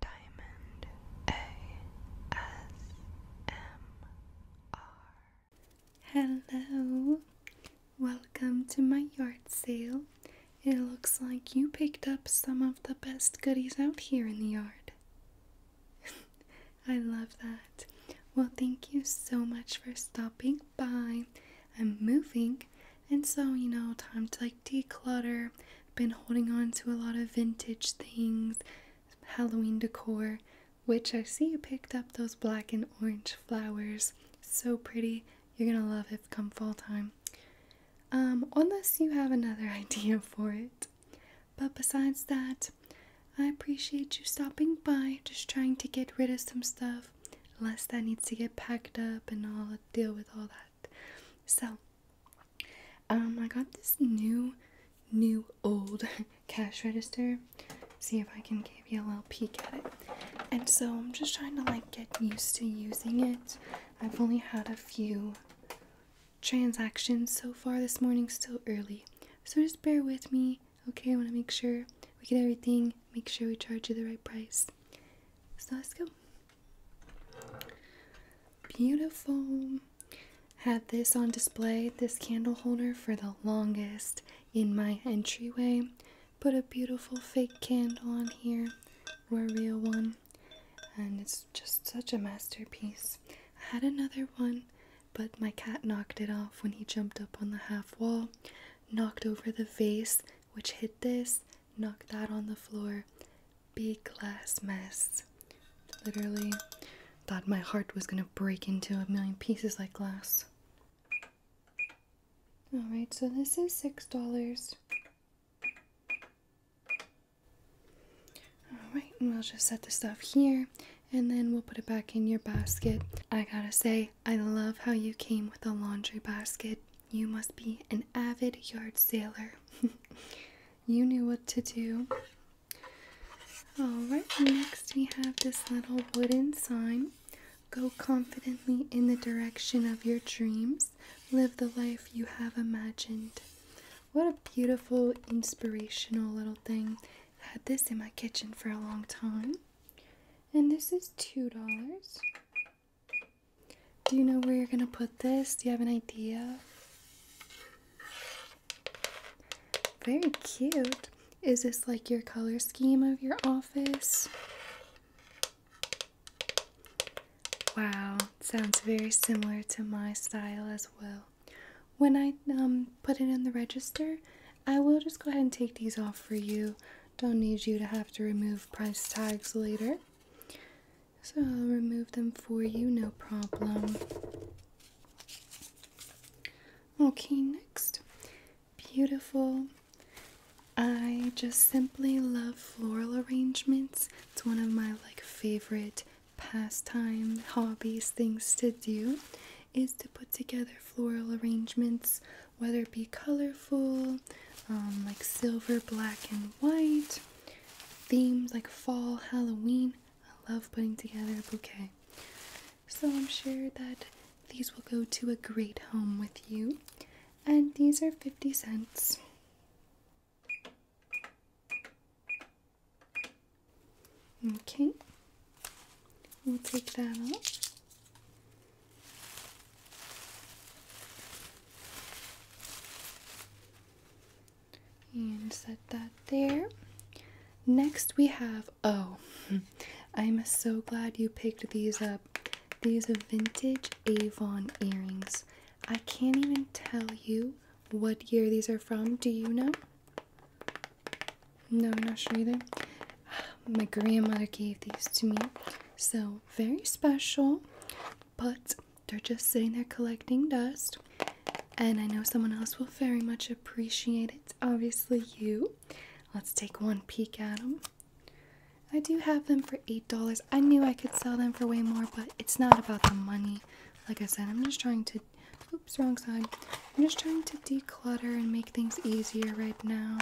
Diamond ASMR. Hello, welcome to my yard sale. It looks like you picked up some of the best goodies out here in the yard. I love that. Well, thank you so much for stopping by. I'm moving, and so you know, time to like declutter been holding on to a lot of vintage things, Halloween decor, which I see you picked up those black and orange flowers. So pretty. You're going to love it come fall time. Um, unless you have another idea for it. But besides that, I appreciate you stopping by, just trying to get rid of some stuff, unless that needs to get packed up and I'll deal with all that. So, um, I got this new, new old cash register. See if I can give you a little peek at it. And so I'm just trying to like get used to using it. I've only had a few transactions so far this morning, still early. So just bear with me, okay? I want to make sure we get everything, make sure we charge you the right price. So let's go. Beautiful. Had this on display, this candle holder, for the longest in my entryway. Put a beautiful fake candle on here, or a real one, and it's just such a masterpiece. I had another one, but my cat knocked it off when he jumped up on the half wall, knocked over the vase, which hit this, knock that on the floor. Big glass mess. Literally thought my heart was gonna break into a million pieces like glass. Alright, so this is $6. Alright, and we'll just set the stuff here and then we'll put it back in your basket. I gotta say, I love how you came with a laundry basket. You must be an avid yard sailor. you knew what to do. Alright, next we have this little wooden sign. Go confidently in the direction of your dreams. Live the life you have imagined. What a beautiful, inspirational little thing. I had this in my kitchen for a long time. And this is $2. Do you know where you're gonna put this? Do you have an idea? Very cute. Is this like your color scheme of your office? Wow, sounds very similar to my style as well. When I um, put it in the register, I will just go ahead and take these off for you. Don't need you to have to remove price tags later. So I'll remove them for you, no problem. Okay, next. Beautiful. I just simply love floral arrangements. It's one of my like favorite pastime hobbies things to do is to put together floral arrangements, whether it be colorful, um, like silver, black, and white, themes like fall, Halloween. I love putting together a bouquet. So I'm sure that these will go to a great home with you. And these are 50 cents. Okay, we'll take that off and set that there. Next, we have oh, I'm so glad you picked these up. These vintage Avon earrings. I can't even tell you what year these are from. Do you know? No, I'm not sure either. My grandmother gave these to me. So, very special but they're just sitting there collecting dust. And I know someone else will very much appreciate it. Obviously, you. Let's take one peek at them. I do have them for $8. I knew I could sell them for way more, but it's not about the money. Like I said, I'm just trying to. Oops, wrong side. I'm just trying to declutter and make things easier right now.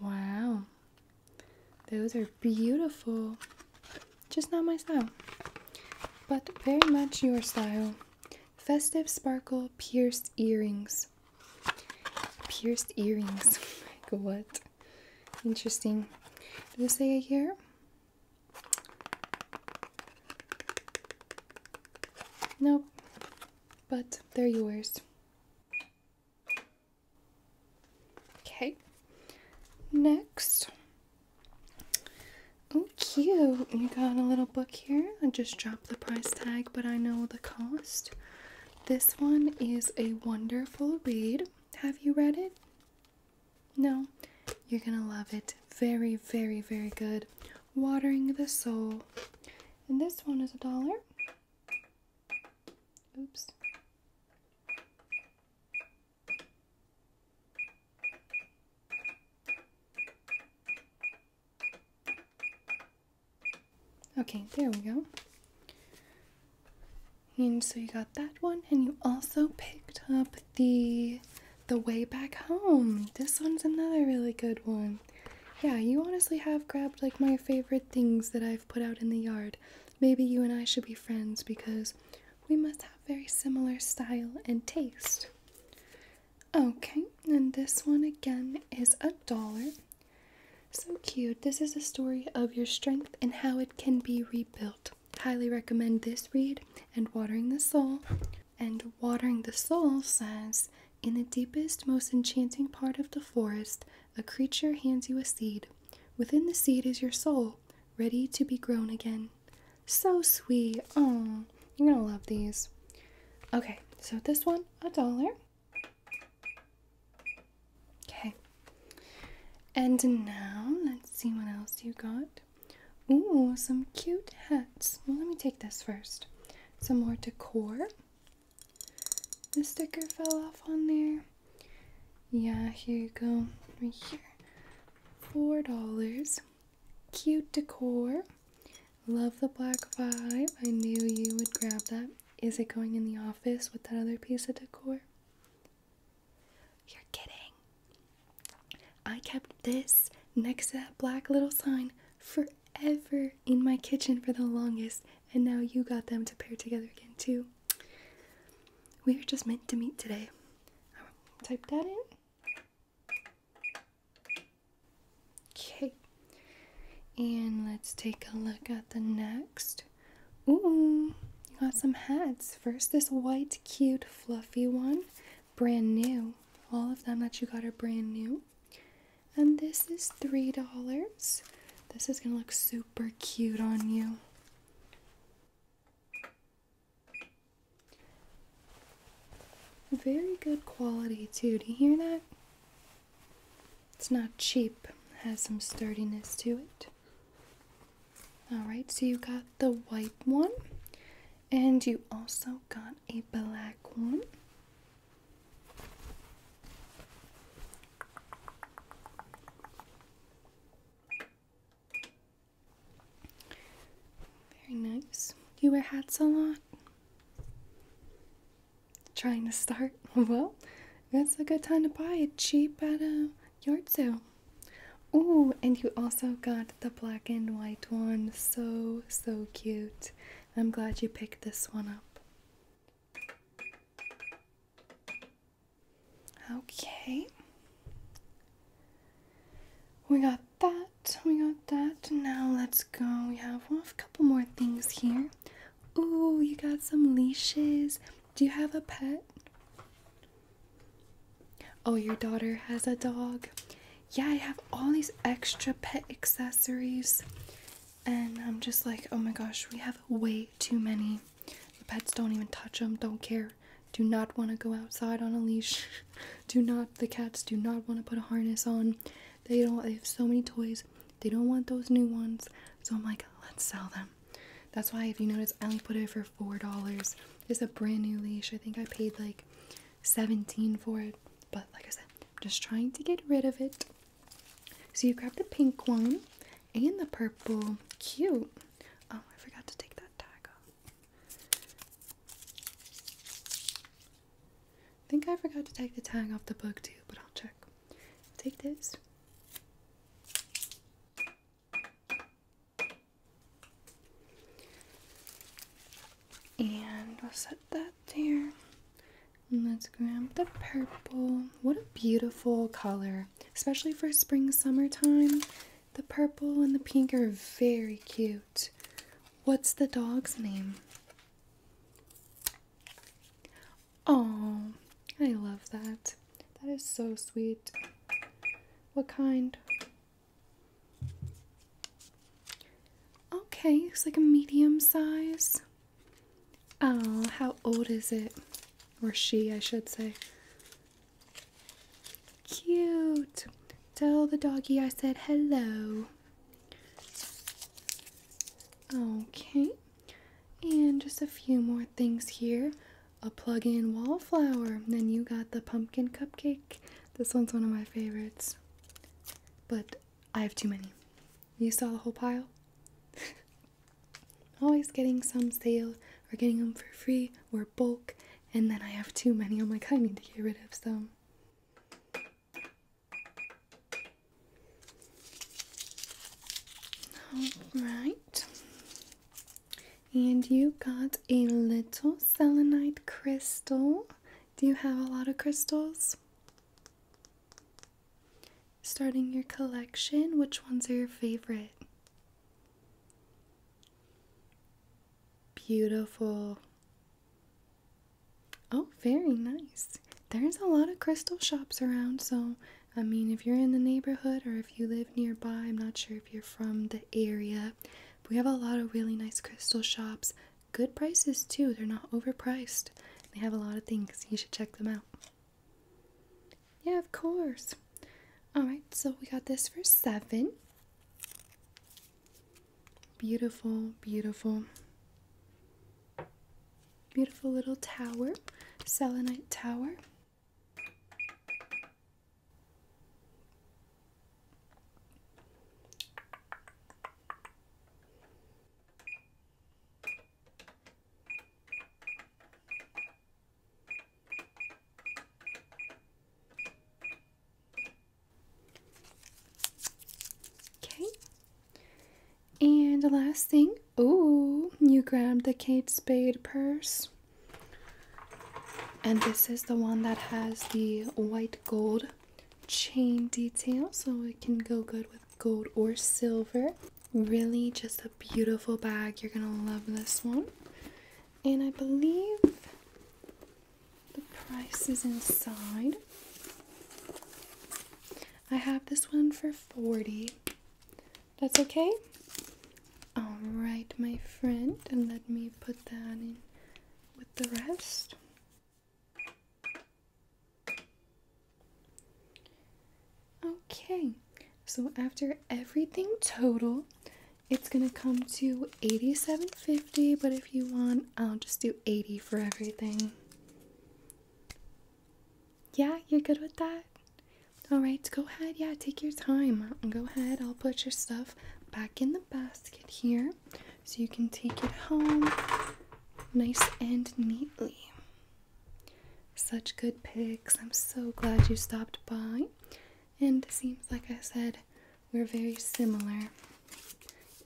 Wow, those are beautiful. Just not my style, but very much your style. Festive sparkle pierced earrings. Pierced earrings. like what? Interesting. Did it say it here? Nope. But they're yours. Okay. Next. Oh, cute. You got a little book here. I just dropped the price tag, but I know the cost. This one is a wonderful read. Have you read it? No. You're going to love it. Very, very, very good. Watering the Soul. And this one is a dollar. Oops. Okay, there we go. And so you got that one, and you also picked up the the way back home. This one's another really good one yeah, you honestly have grabbed like my favorite things that I've put out in the yard. Maybe you and I should be friends because we must have very similar style and taste. Okay, and this one again is a dollar. So cute. This is a story of your strength and how it can be rebuilt. Highly recommend this read and Watering the Soul. And Watering the Soul says, in the deepest, most enchanting part of the forest, a creature hands you a seed. Within the seed is your soul, ready to be grown again. So sweet. Oh, you're gonna love these. Okay, so this one, a dollar. Okay. And now, let's see what else you got. Ooh, some cute hats. Well, let me take this first. Some more decor. The sticker fell off on there. Yeah, here you go. Right here. Four dollars. Cute decor. Love the black vibe. I knew you would grab that. Is it going in the office with that other piece of decor? You're kidding. I kept this next to that black little sign for Ever in my kitchen for the longest, and now you got them to pair together again, too. We are just meant to meet today. type that in. Okay. And let's take a look at the next. Ooh, you got some hats. First, this white, cute, fluffy one. Brand new. All of them that you got are brand new. And this is $3. This is gonna look super cute on you. Very good quality too, do you hear that? It's not cheap, has some sturdiness to it. Alright, so you got the white one, and you also got a black one. Very nice. You wear hats a lot? Trying to start? Well, that's a good time to buy a cheap at a yard sale. Oh, and you also got the black and white one. So, so cute. I'm glad you picked this one up. Okay. We got that, we got that. Now let's go. We have, a couple more things here. Ooh, you got some leashes. Do you have a pet? Oh, your daughter has a dog. Yeah, I have all these extra pet accessories and I'm just like, oh my gosh, we have way too many. The pets don't even touch them, don't care, do not want to go outside on a leash. do not, the cats do not want to put a harness on. They don't, they have so many toys, they don't want those new ones. So I'm like, let's sell them. That's why, if you notice, I only put it for $4. It's a brand new leash. I think I paid like 17 for it. But like I said, I'm just trying to get rid of it. So you grab the pink one and the purple. Cute. Oh, I forgot to take that tag off. think I forgot to take the tag off the book too, but I'll check. Take this. And I'll set that there let's grab the purple. What a beautiful color, especially for spring summertime. The purple and the pink are very cute. What's the dog's name? Oh, I love that. That is so sweet. What kind? Okay, it's like a medium size. Oh, how old is it? Or she, I should say. Cute. Tell the doggy I said hello. Okay. And just a few more things here. A plug-in wallflower. Then you got the pumpkin cupcake. This one's one of my favorites. But I have too many. You saw the whole pile? Always getting some sale or getting them for free or bulk, and then I have too many. I'm like, I need to get rid of some. Alright. And you got a little selenite crystal. Do you have a lot of crystals? Starting your collection, which ones are your favorite? Beautiful. Oh, very nice. There's a lot of crystal shops around, so I mean, if you're in the neighborhood or if you live nearby, I'm not sure if you're from the area. we have a lot of really nice crystal shops good prices too. They're not overpriced. They have a lot of things. You should check them out. Yeah, of course. Alright, so we got this for seven. Beautiful, beautiful. Beautiful little tower, selenite tower. Okay. And last thing, Oh, you grabbed the Kate Spade purse. And this is the one that has the white gold chain detail, so it can go good with gold or silver. Really, just a beautiful bag. You're gonna love this one. And I believe the price is inside. I have this one for 40. That's okay? Alright, my friend, and let me put that in with the rest. Okay, so after everything total, it's gonna come to 87.50, but if you want, I'll just do 80 for everything. Yeah, you're good with that? Alright, go ahead. Yeah, take your time. Go ahead. I'll put your stuff back in the basket here so you can take it home nice and neatly. Such good pics! I'm so glad you stopped by. And seems like I said, we're very similar.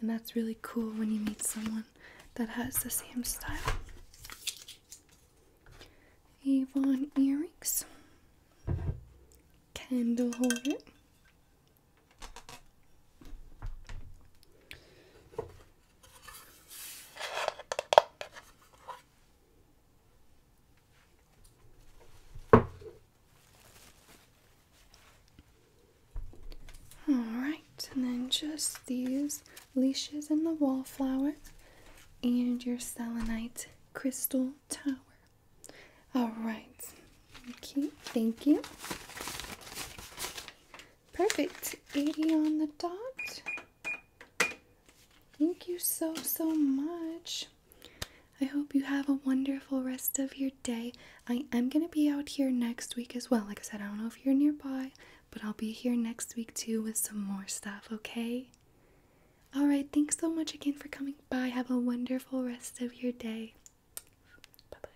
And that's really cool when you meet someone that has the same style. Avon earrings, candle holder, all right, and then just these leashes and the wallflower and your selenite crystal tower. All right. Okay, thank you. Perfect. 80 on the dot. Thank you so, so much. I hope you have a wonderful rest of your day. I am going to be out here next week as well. Like I said, I don't know if you're nearby, but I'll be here next week too with some more stuff, okay? All right, thanks so much again for coming by. Have a wonderful rest of your day. Bye